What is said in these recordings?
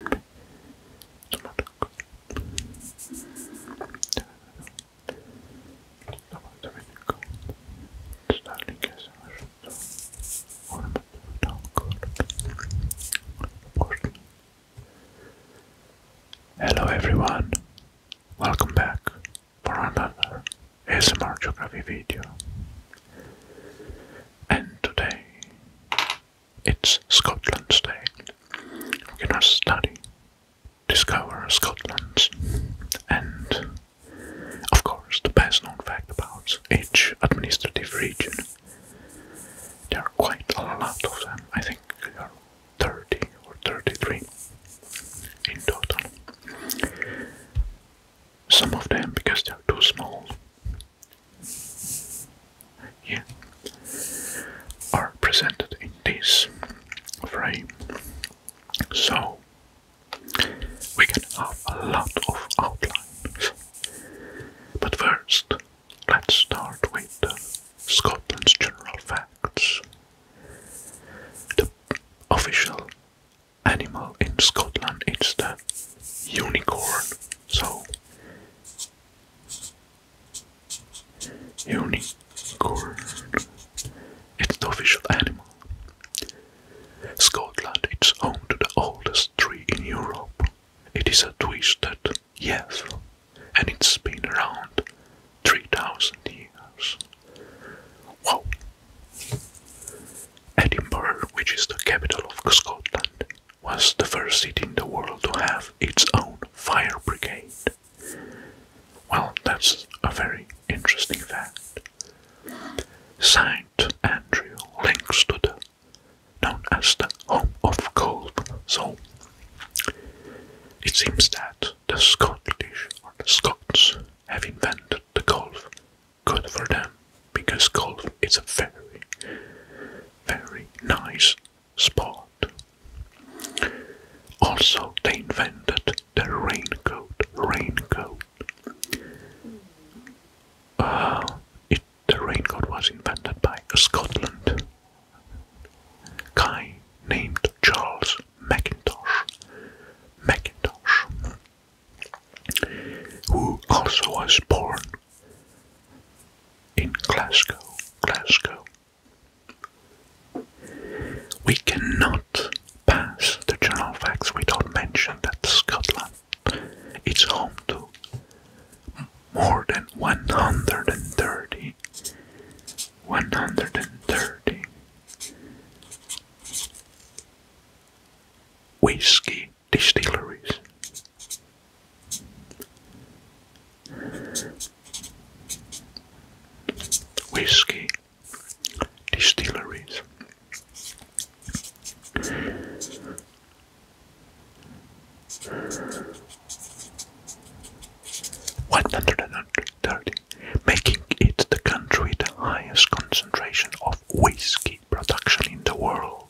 Hello everyone, welcome back for another ASMR Geography video. And today it's Scotland's Day. we can study, discover Scotland, and of course, the best known fact about each administrative region. There are quite a lot of them, I think there are 30 or 33 in total. Some of them, because they're too small, yeah, are presented in this frame. So we can have a lot of outlines. But first, let's start with Scotland's general facts. The official animal in Scotland is the unicorn. So Unicorn. It's the official animal. Scotland It's home to the oldest tree in Europe. It is a twisted yes, and it's been around 3000 years. Wow! Edinburgh, which is the capital of Scotland, was the first city in the world to have its own fire brigade. Well, that's a very interesting fact. St. Andrew links to the known as the Home of golf. so it seems that the Scottish or the Scots have invented the golf. Good for them because golf is a very, very nice sport. Also, they invented the raincoat. Raincoat. Uh, the raincoat was invented by Scotland guy named Charles Mackintosh. Mackintosh, who also was born in Glasgow, Glasgow. We cannot pass the general facts without mention that Scotland is home to more than 130 130 whiskey distilleries. Whiskey distilleries. One hundred and thirty, making it the country with the highest concentration of whiskey production in the world.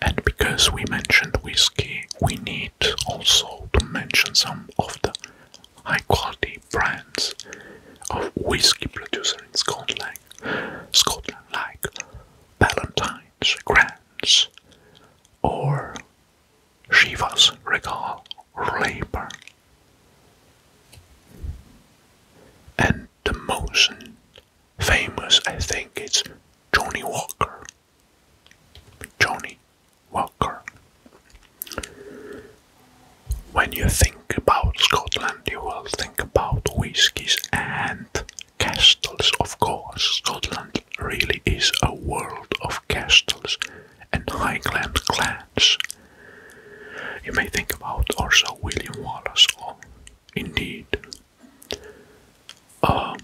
And because we mentioned whiskey, we need also to mention some of the high quality brands of whiskey producers in Scotland, Scotland like Ballantine's, Grant's, or Shiva's Regal or And the most famous, I think it's Johnny Walker. Johnny Walker. When you think about Scotland, you will think about whiskies and castles, of course. Scotland really is a world of castles and Highland clans. You may think about also William Wallace indeed. Uh,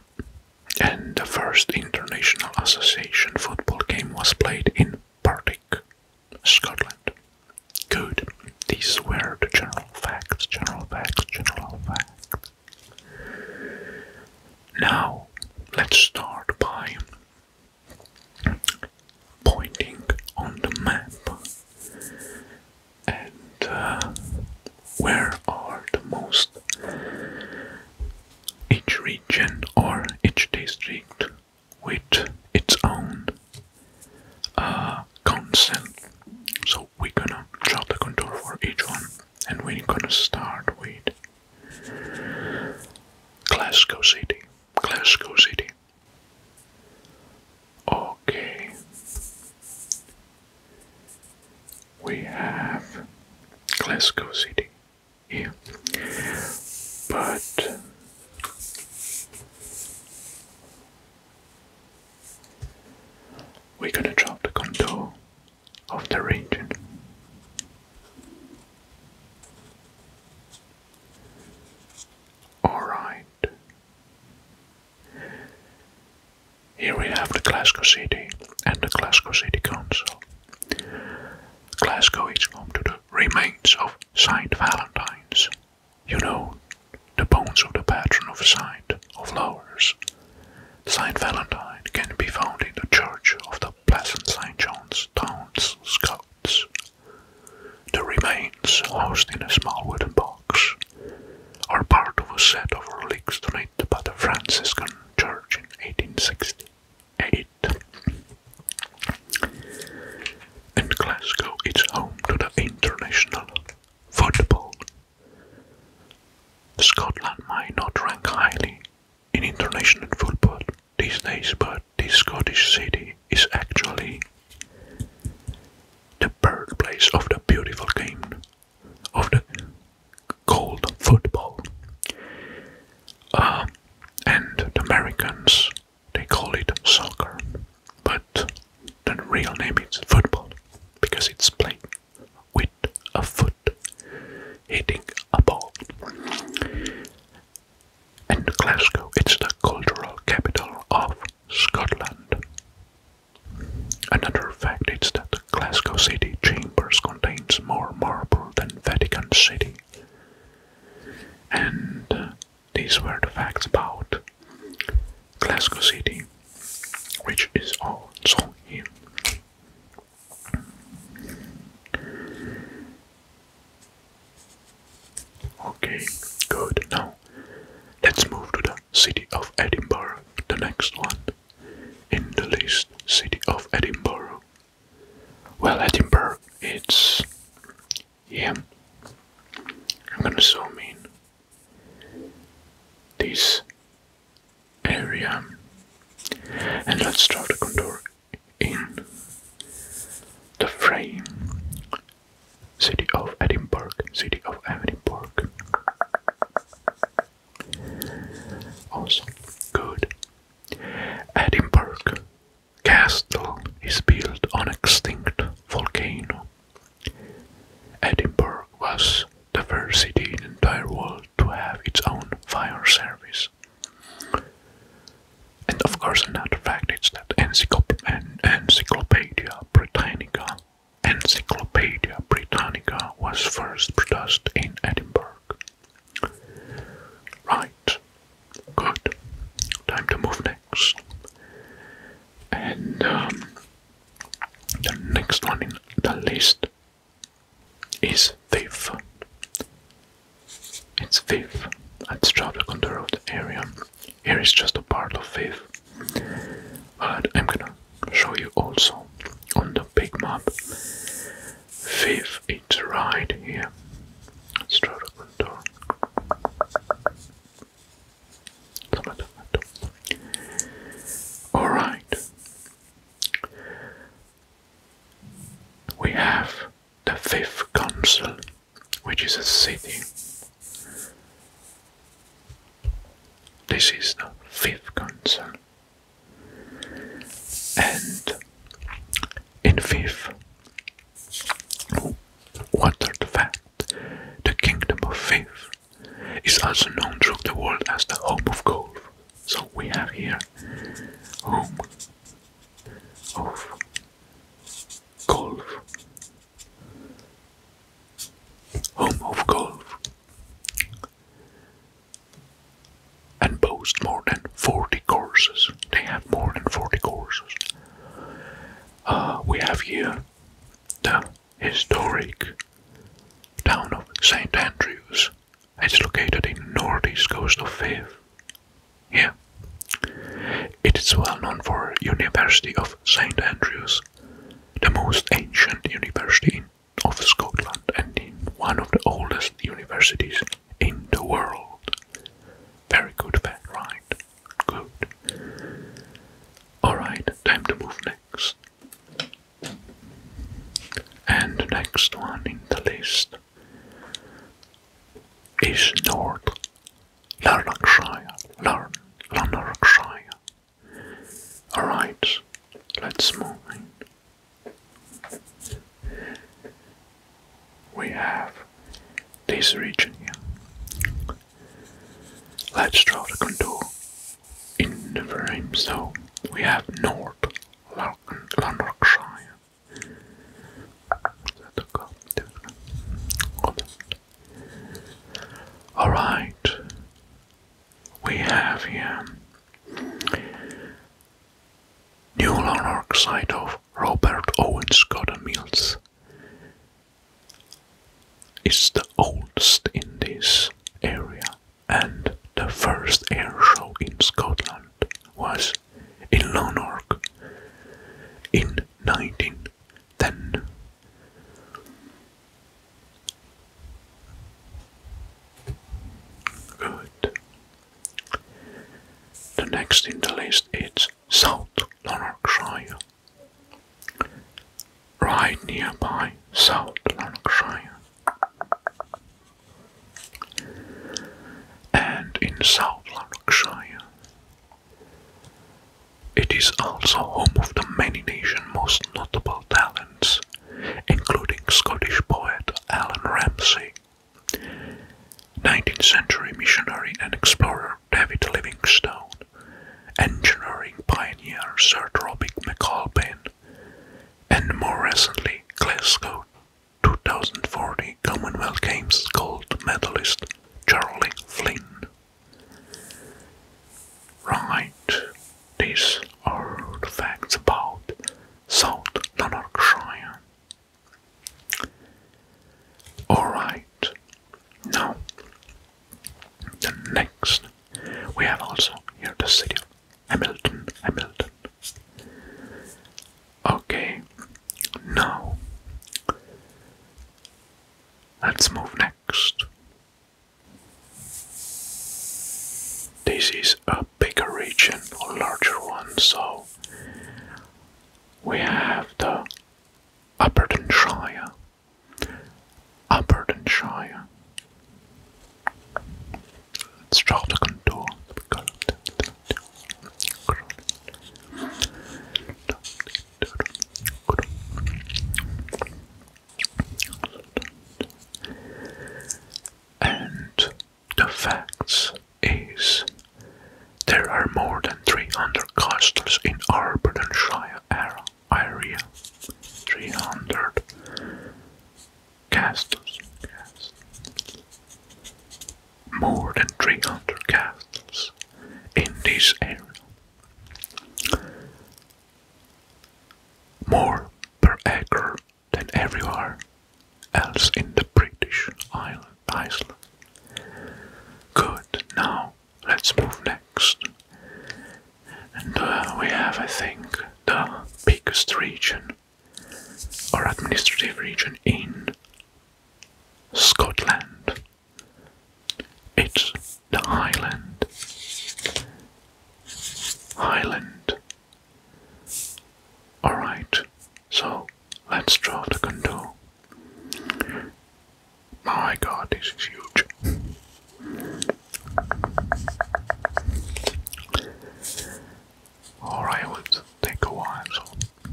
and the first international association football game was played in Partick, Scotland. Good. These were the general facts, general facts, general facts. Now, let's start by pointing on the map and uh, where are the most each region or each district with its own uh, council. So we're gonna draw the contour for each one and we're gonna start with Glasgow City. Glasgow City. Okay. We have Glasgow City here, but we're gonna drop the contour of the region. All right. Here we have the Glasgow City and the Glasgow City Council. Glasgow is home to the remains of Saint Valentine's, you know, the bones of the patron of Saint of lovers. Saint Valentine can be found in the church of the Pleasant St. John's Town Scouts. The remains, housed in a small wooden box, are part of a set of relics donated by the Franciscan Church in 1868. And Glasgow is home to the international football. Scotland might not rank highly in international football these days, but this Scottish city is actually the birthplace of the beautiful game of the cold football. Uh, and the Americans they call it soccer, but the real name is football because it's played with a foot hitting a ball. And Glasgow, it's the cultural capital of Scotland. Another fact is that Glasgow City Chambers contains more marble than Vatican City. And uh, these were the facts about Glasgow City, which is also in Okay, good. Now, let's move to the city of Edinburgh, the next one in the list. City of Edinburgh. Well, Edinburgh, it's. Yeah. I'm gonna zoom in. This area. And let's draw the contour in the frame. City of Edinburgh, City of Edinburgh. Also, good. Edinburgh Castle is built on extinct volcano. Edinburgh was the first city in the entire world to have its own fire service. And of course, another fact is that encyclopedia. Encyclopaedia Britannica. Encyclopaedia Britannica was first produced in Edinburgh. Right, good. Time to move next. And um, the next one in the list is fifth. It's fifth. Let's at Strada Condor Road area. Here is just a part of fifth, But I'm gonna show you also on the big map. Fifth is right here. Let's try to contour. Alright. We have the fifth council which is a city. This is the fifth council. And in fifth, what are the fact? The kingdom of fifth is also known throughout the world as the home of golf. So we have here home of golf home of golf, and boasts more than 40 courses. They have more than 40 courses. Uh, we have here the historic town of St. Andrews. It's located in northeast coast of Fife, yeah. It is well known for University of St Andrews, the most ancient university of Scotland and one of the oldest universities in the world. Very good fact, right? Good. Alright, time to move next. And the next one in the list is North Lanarkshire, learn Lanarkshire. Alright, let's move We have this region Let's draw the contour in the frame. So we have North Lanarkshire. Alright, we have here New neural site of Robert Owen Scott Mills. It's the oldest in this area, and the first air show in Scotland was in Lanark in 19 then good. The next in the list is South Lanarkshire. Right nearby South Lanarkshire. And in South Lanarkshire it is also home of the many nation's most notable talents, including Scottish poet Alan Ramsay, 19th century missionary and explorer David Livingstone, engineering pioneer Sir Robert McAlpin, and more recently Glasgow 2040 Commonwealth Games gold medalist Charlie Flynn. Right, these are the facts about South Lanarkshire. Alright, now the next we have also here the city of Hamilton, Hamilton. Okay, now Let's move next. This is a bigger region, a larger one, so we have the Aberdeenshire. Aberdeenshire. Let's draw the contour. And the facts is there are more than 300 castles in Aberdeenshire area. 300 castles more than 300 castles in this area. More per acre than everywhere else in the British island, Iceland. Good, now let's move next. And uh, we have, I think, the biggest region or administrative region in Scotland. It's the Highland. Highland. Alright, so let's draw the contour. My god, this is huge. Alright, it will take a while, so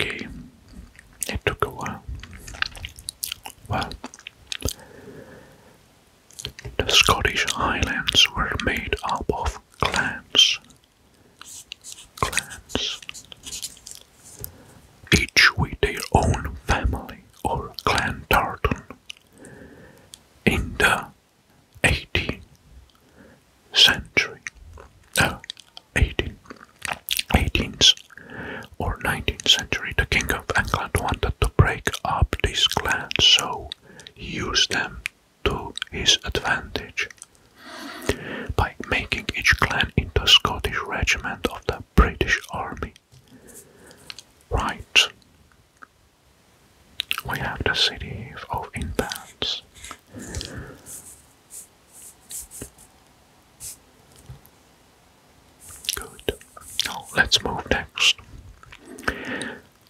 okay. It took a while. Well, the Scottish Highlands were made up of clans. Clans. Each with their own family or clan tartan. In the 18th century, no, uh, 18th or 19th century, the King of England wanted to break up these clans, so he used them to his advantage by making each clan into a Scottish regiment of the British Army. Right, we have the city of Inverness. Good. let's move next.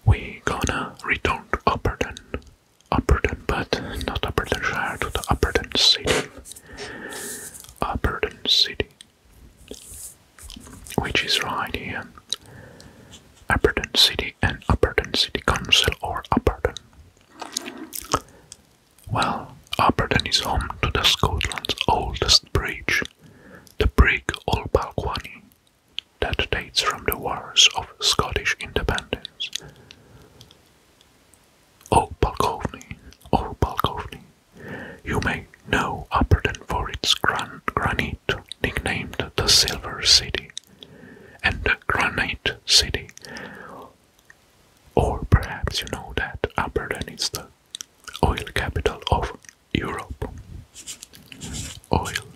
We gonna return to Upperton. Upperton, but not Upperton to the Upperton City. Upperton City. Which is right here. Upperton City and Upperton City Council or Upperton. Well, Aberdeen is home to the Scotland's oldest bridge, the Brig Ol Balquhany, that dates from the Wars of Scottish Independence. O Balcovny, O Balcovny, you may know Aberdeen for its gran granite, nicknamed the Silver City and Granite City. Or perhaps you know that Aberdeen is the oil capital of Europe. Oil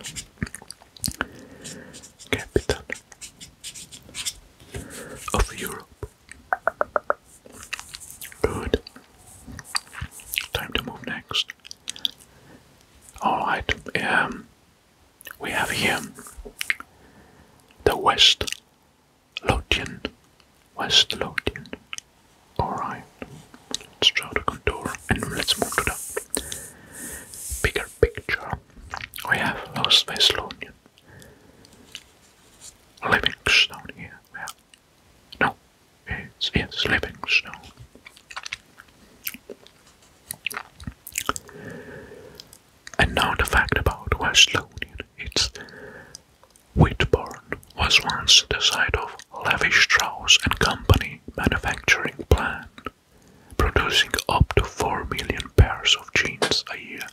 capital of Europe. Good. Time to move next. Alright, um, we have here the West Lothian. West Lothian. Alright, let's draw the contour and let's move to the bigger picture. We have Lost West Lothian. Livingstone here. Yeah. No, it's, it's Livingstone. And now the fact about West London. It's Whitburn was once the site of Levi Strauss and Company manufacturing plant, producing up to 4 million pairs of jeans a year.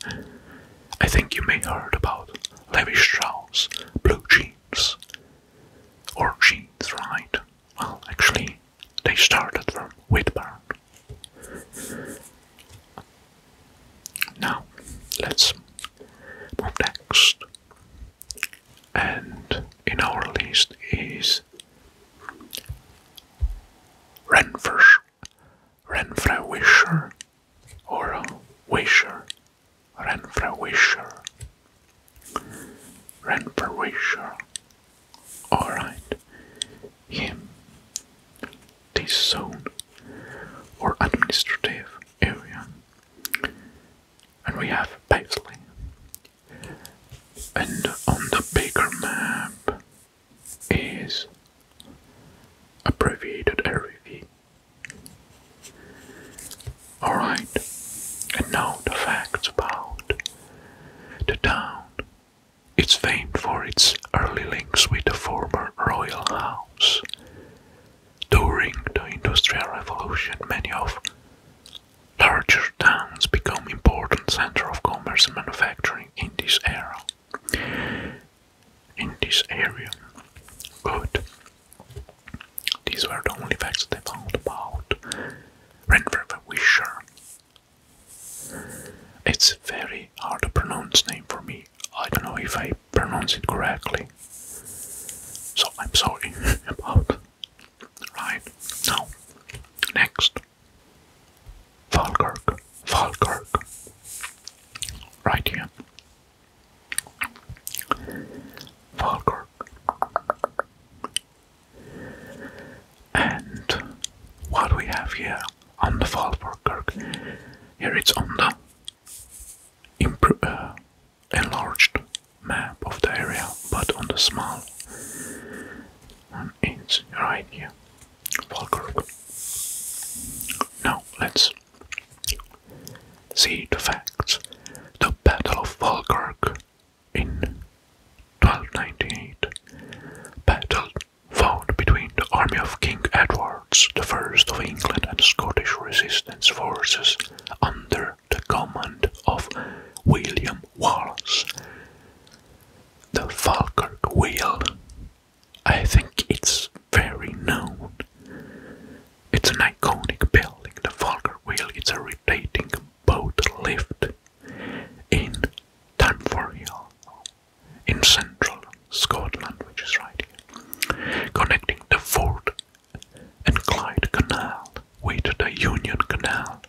I think you may heard about Levi Strauss blue jeans or jeans, right? Well, actually, they started from Whitburn. Now, let's move next. And in our list is Renfresh, Renfrew Wisher, or Wisher, Renfrew Wisher, Renfrew Wisher, Alright. Him. This zone or administrative area. And we have Paisley. And on the bigger map is abbreviated RV. Alright, and now the facts about the town it's famed for its early links with the former royal house. During the Industrial Revolution, many of larger towns became important centres of commerce and manufacturing in this era. In this area. Good. These were the only facts they found about Renfrew it's a very hard to pronounce name for me. I don't know if I pronounce it correctly. So I'm sorry about Right. Now next Falkirk. Falkirk. Right here. Falkirk. And what we have here on the Fallberg Here it's on the uh, enlarged map of the area, but on the small one, it's right here. Falkirk. Now let's see the facts. The Battle of Falkirk in 1298, battle fought between the army of King Edwards I of England and Scottish resistance forces under the command of William Wallace. The Falkirk Wheel. I think it's very known. It's an iconic building, the Falkirk Wheel. It's a rotating boat lift in Tanfor Hill in central Scotland, which is right here, connecting the Ford and Clyde Canal with the Union Canal.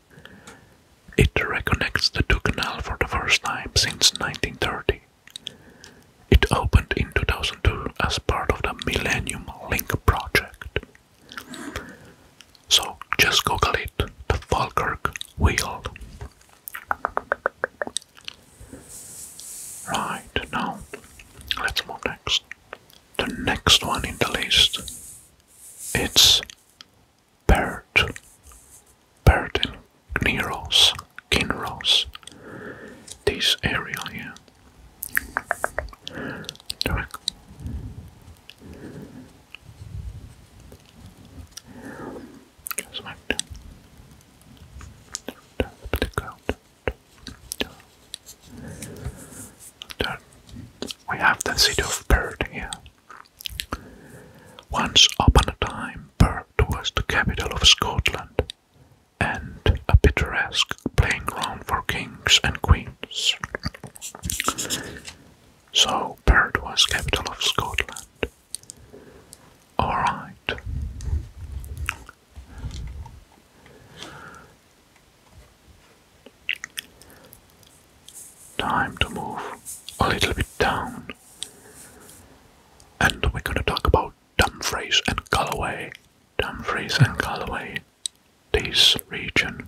It reconnects the two canals for the first time since 1930. It opened in 2002 as part of the Millennium Link project. So just Google it, the Falkirk wheel. Right, now let's move next. The next one in the list it's Bert. Bert and Gneros. This area Get smacked. Put the We have the city of Bird here. Once upon a time, Bird was the capital of Scotland and a picturesque playing ground for kings and queens. So Perth was capital of Scotland. Alright. Time to move a little bit down. And we're gonna talk about Dumfries and Galloway. Dumfries and Galloway. This region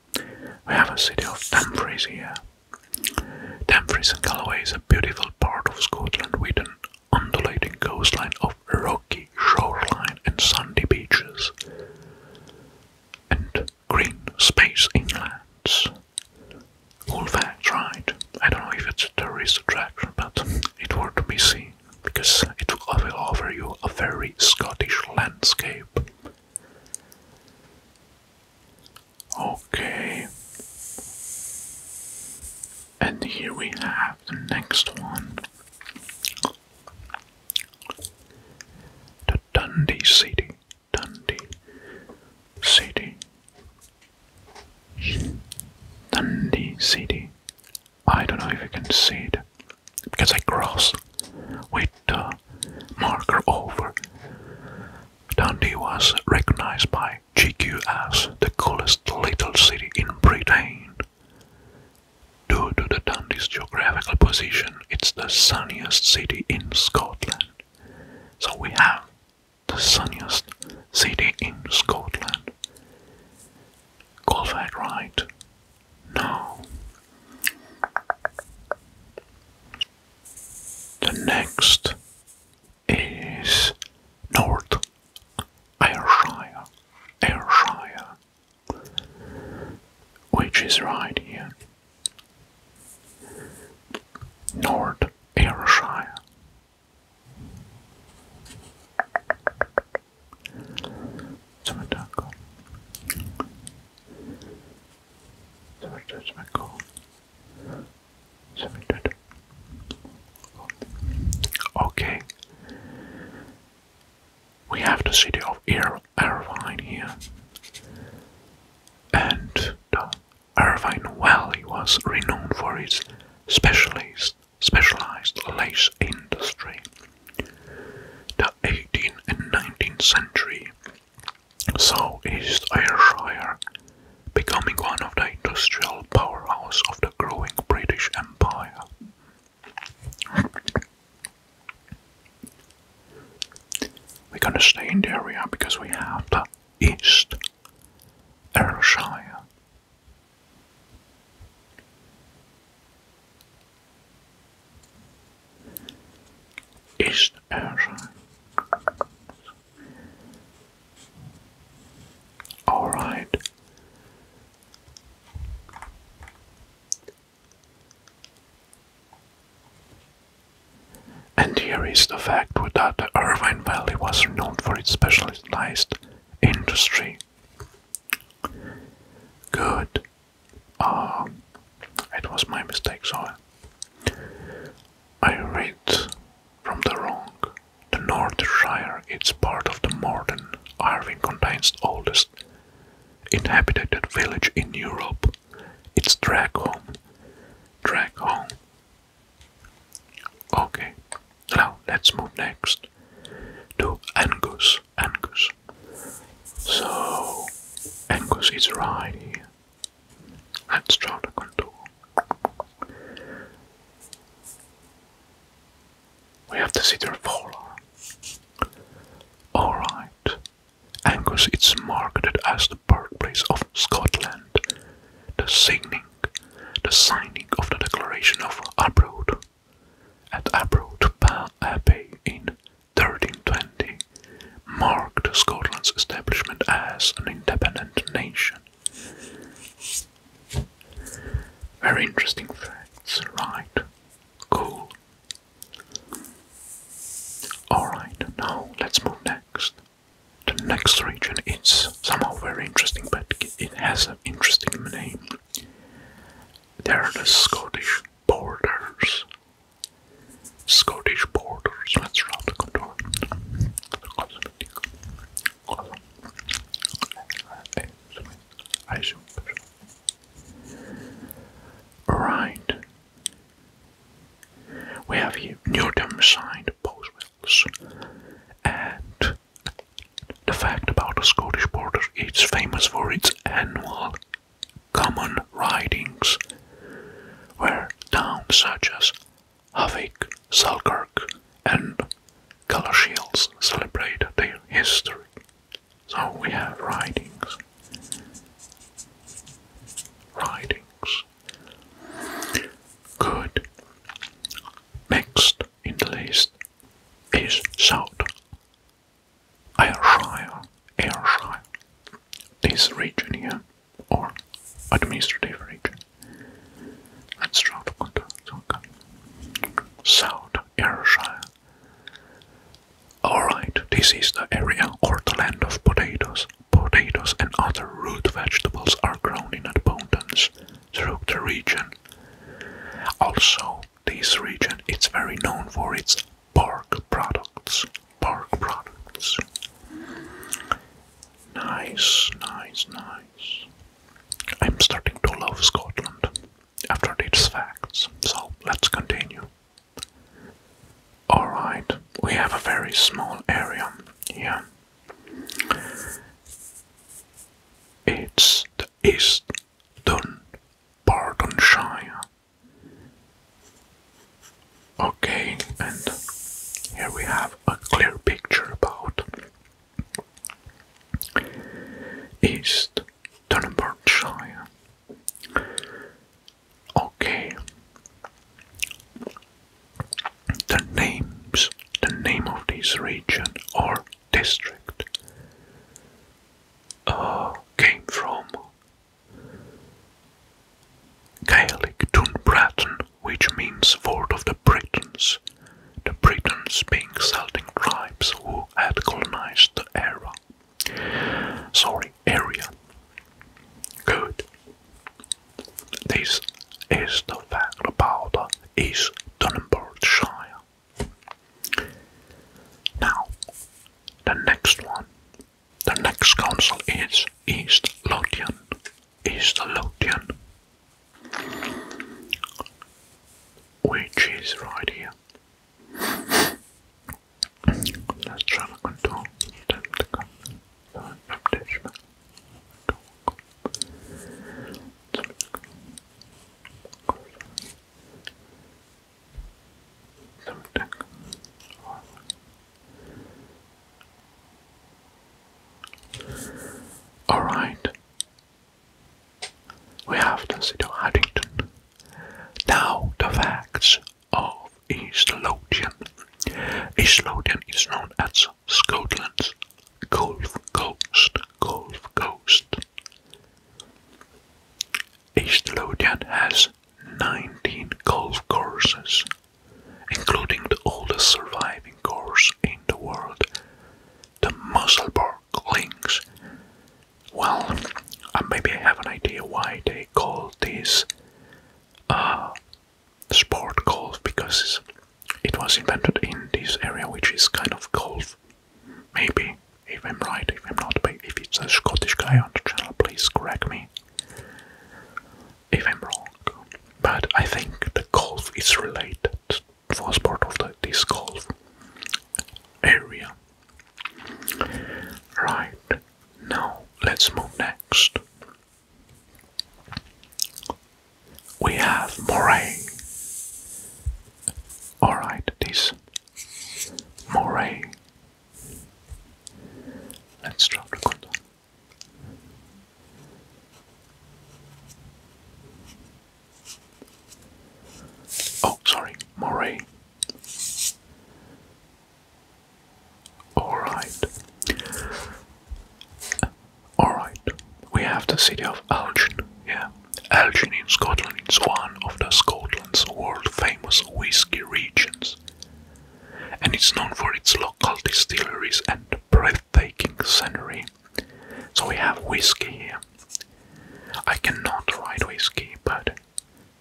We have a city of Dumfries here. Dumfries and Galloway is a beautiful part of Scotland with an undulating coastline of rocky shoreline and sandy beaches and green space inlands. All facts, right? I don't know if it's a tourist attraction, but it worth to be seen because it will offer you a very Scottish landscape. Okay. And here we have the next one. The Dundee City. Dundee City. Dundee City. I don't know if you can see it because I cross with uh, marker over. Dundee was recognized by GQ as the coolest little city in Britain. Due to the Dundee's geographical position, it's the sunniest city in Scotland. So we have the sunniest city in Scotland. Call that right now, the next is North Ayrshire, Ayrshire, which is right here. North Ayrshire. Cmentarko. Okay. We have the city of Irvine here. And the Irvine Valley was renowned for its specialized specialized lace industry. The 18th and 19th century saw East Ayrshire becoming one of the industrial powerhouses of the growing British Empire. We're gonna stay in the area because we have the East Ayrshire. East Asia. Er All right. And here is the fact that the Irvine Valley was renowned for its specialized industry. Good. Um, it was my mistake, so I read from the wrong. The Northshire It's part of the modern Irving contains oldest inhabited village in Europe. It's Dragholm. Dragholm. Okay, now let's move next to Angus. Angus. So, Angus is right Let's draw the contour. We have to the cedar forearm. Alright. Angus It's marked as the birthplace of Scotland. The signing the signing of the Declaration of Abroad at Abroad Abbey in 1320 marked Scotland's establishment as an independent nation. Very interesting facts, right? Cool. Alright, now let's move next. The next region is somehow very interesting, but it has an interesting name. They're the Scottish borders. Scottish borders, that's around the contour. Right. We have here Newton signed Boswell's. And the fact about the Scottish borders, is famous for its annual Common ridings where towns such as Havik, Selkirk, and Galashiels celebrate their history. So we have ridings. Ridings. Good. Next in the list is South Ayrshire, Ayrshire, this region here, or administrative region. That's Strathcona, okay. South Ayrshire. Alright, this is the area or the land of potatoes. Potatoes and other root vegetables are grown in abundance throughout the region. Also, this region it's very known for its bark products. Bark products. Nice, nice, nice. I'm starting to love Scotland after these facts, so let's continue. Alright, we have a very small area here. It's the east Dunbartonshire. Bartonshire. Okay, and here we have a clear picture about East Dunbartonshire. Okay, the names, the name of this region are district uh, came from Gaelic Dunbraton, which means fort of the Britons, the Britons being Celtic tribes who had colonized the area. Sorry, area. Good. This is the fact about is Dunbartonshire. Now, the next one, the next council is East Lothian. East Lothian, which is right here. Alright. We have to city of Haddington. Now the facts of East Lothian. East Lothian is known as Scotland's Gulf Coast, Gulf Coast, East Lothian has 19 golf courses, including the oldest surviving course in the world, the Musselburgh Links. Well, uh, maybe I have an idea why they call this uh, sport golf because it was invented in this area, which is kind of golf Maybe, if I'm right, if I'm not, but if it's a Scottish guy on the channel, please correct me if I'm wrong. But I think the golf is related for sport of the, this golf area. Right, now let's move next. We have Moray. Alright, this Moray. Let's drop the condom. Oh, sorry, Moray. Alright. Alright. We have the city of Algin, yeah. Elgin in Scotland is one of the Scotland's world-famous whisky regions, and it's known for its local distilleries and breathtaking scenery. So we have whiskey here. I cannot write whiskey, but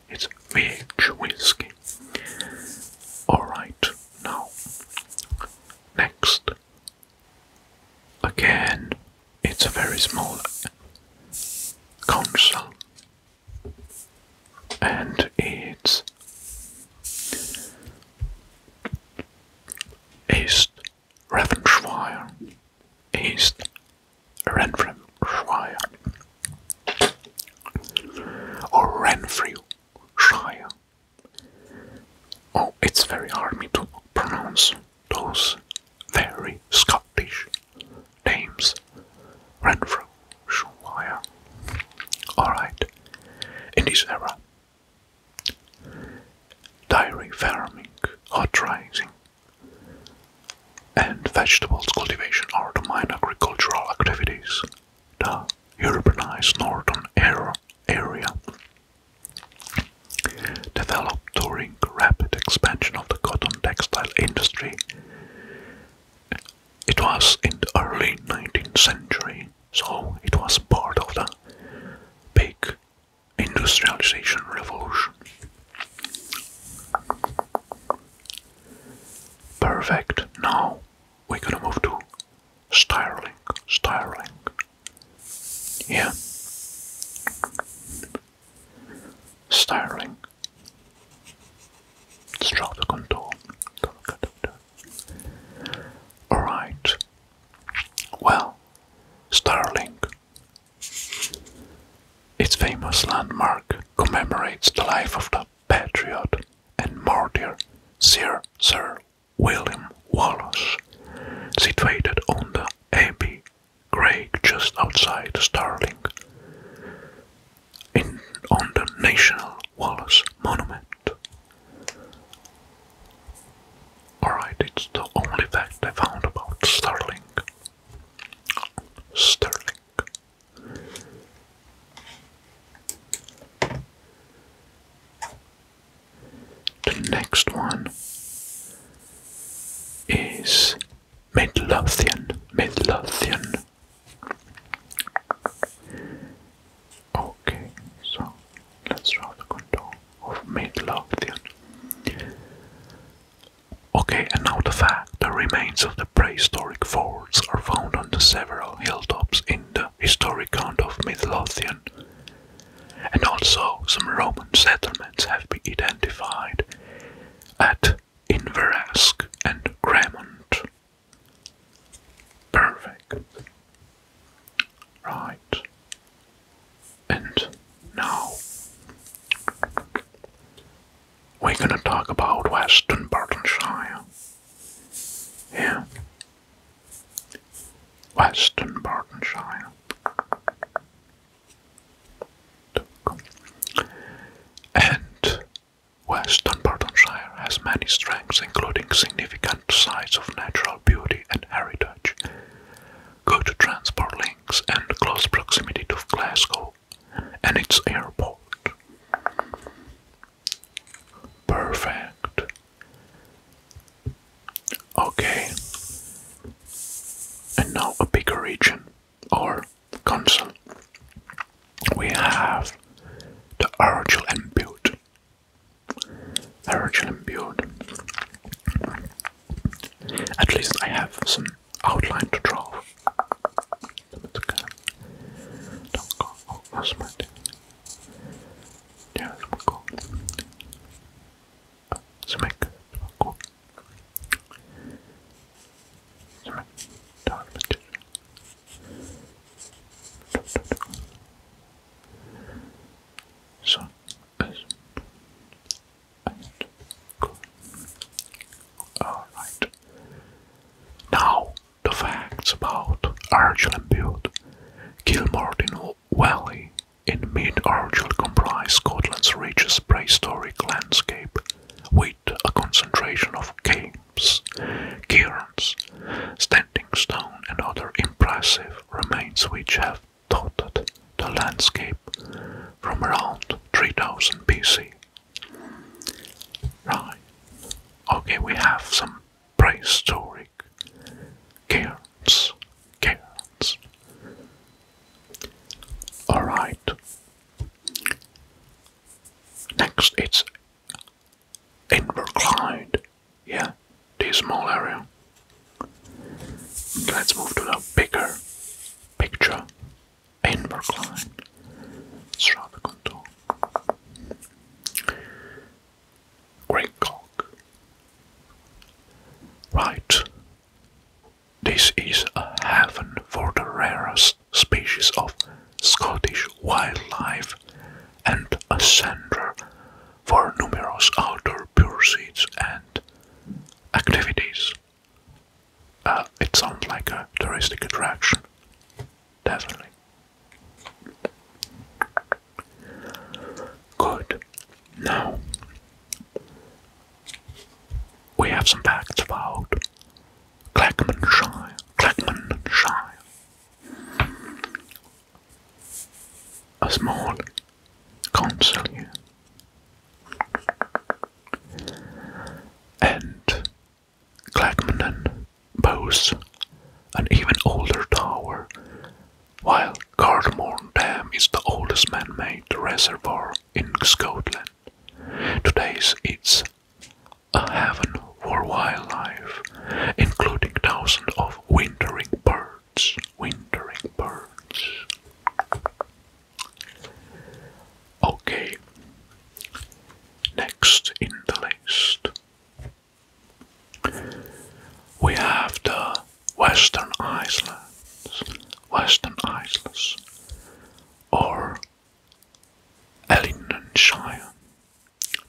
it's VH whiskey. Alright, now next Again, it's a very small council and it's East Renfrewshire, East Renfrewshire, or Renfrewshire. Oh, it's very hard me to pronounce those very Scottish names ran through Shire. Alright, in this era, dairy farming, hot rising, and vegetables cultivation are the main agricultural activities. The urbanized northern area developed during rapid expansion of the cotton textile industry. It was in the early 19th century, so it was part of the big industrialization revolution. Perfect. Now we're gonna move to styling. Styling. Yeah styling, strata contour. Alright, well, Starlink. Its famous landmark commemorates the life of the patriot and martyr Sir Sir William Wallace, situated on the Abbey Craig just outside Starling, in, on the National Wallace Monument. Alright, it's the only fact I found about Starling. Sterling. The next one is Midlothian. Midlothian. Okay, so let's draw the contour of Midlothian. Okay, and now the fact the remains of the prehistoric forts are found on the several hilltops in the historic count of Midlothian and also some Roman settlements have been identified at Inveresk and Cremont. Perfect. Right. And now we're gonna talk about Western Bartonshire. Yeah. Western Bartonshire. And Western Portonshire has many strengths, including significant sites of natural beauty and heritage, good transport links, and close proximity to Glasgow and its airport. Perfect. Okay. And now a bigger region or council. We have the Argel and Butte. Argel and Butte. At least I have some outline to draw. Don't go. Oh, that's Yeah, we go. Smack. Cool. Smack. Down the So, as Alright. Now, the facts about Argel and Butte. Kilmort in Valley in mid Arch comprise Scotland's richest prehistoric landscape, with a concentration of caves, cairns, standing stone, and other impressive remains which have dotted the landscape from around 3000 BC. Right. Okay, we have some prehistoric cairns Carrots, Alright. Next it's Inverclyde. Yeah, this small area. Let's move to the bigger picture. Inverclyde. Strata contour. Great Right. This is a haven for the rarest species of Scottish wildlife and a center for numerous outdoor pursuits and activities. Uh, it sounds like a touristic attraction, definitely. Good. Now, we have some facts about Clackmanshire. Clackmanshire. A small council here. And Clackmannan boasts an even older tower while Cardamorn Dam is the oldest man-made reservoir in Scotland. today's it's a haven for wildlife, including thousands of wintering birds. Wintering birds. Okay. Next in the list, we have the Western Islands, Western Islands, or Ellinshire.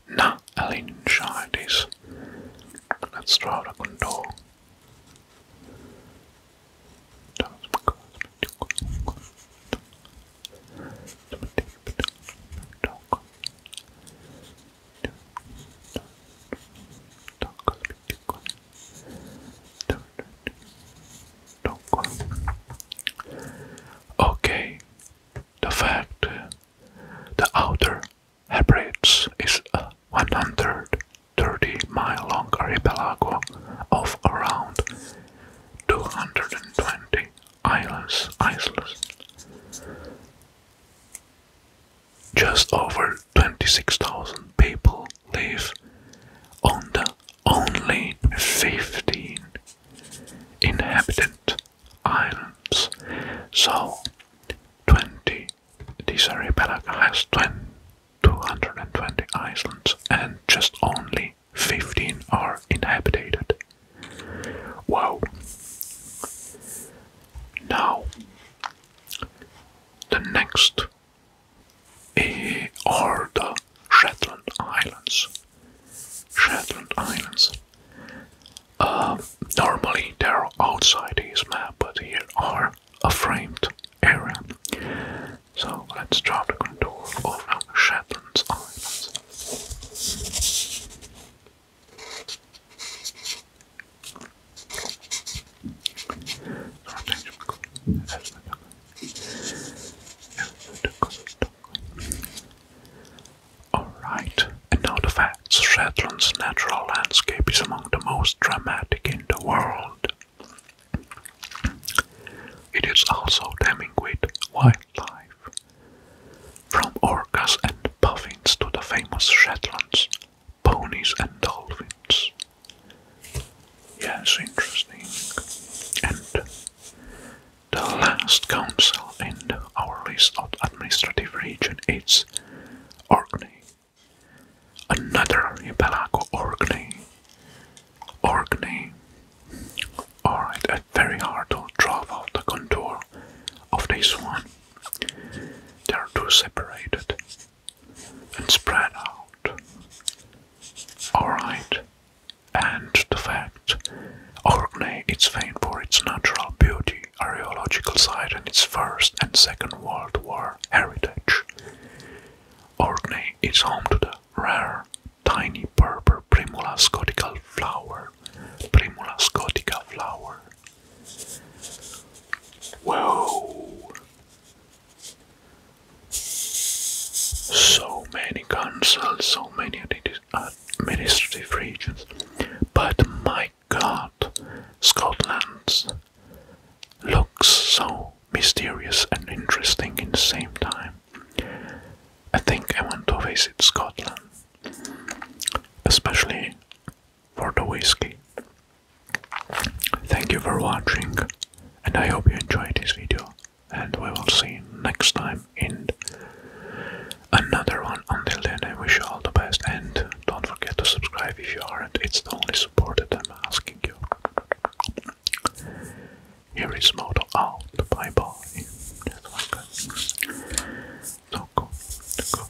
Na, Ellinshire is. is. Let's try the control. Okay, the fact the outer Hebrides is a 130 mile long archipelago of around 220 islands. islands just over 26,000 people live on the only 15 inhabited islands. So, 20, this archipelago has 220 islands and just only 15 are inhabited. Wow! Now, the next eh, are the Shetland Islands. Shetland Islands. Um, normally they're outside his map, but here are a framed area. So let's draw the contour of the Shetland Islands. Alright, and now the facts. Shetland's natural landscape is among the most dramatic in the world. It is also teeming with wildlife. From orcas and puffins to the famous Shetlands ponies and dolphins. Yes, interesting. And the last council in our list of administrative region is Orkney. Another Hipalago Orkney. Orkney. Alright, it's very hard to draw out the contour of this one. They are too separated and spread out. Alright, and the fact Orkney is famed for its natural beauty, archaeological site, and its First and Second World War heritage. Orkney is home to the rare tiny purple Primula scotica flower. Primula scotica flower Whoa. So many councils, uh, so many administrative regions. But my god, Scotland looks so mysterious and interesting in the same time. I think I want to visit Scotland, especially for the whiskey. Thank you for watching and I hope you enjoyed this video and we will see you next time in another one. Until then I wish you all the best and don't forget to subscribe if you aren't. It's the only support that I'm asking you. Here is Moto out. Bye bye. That's one good. So go, go.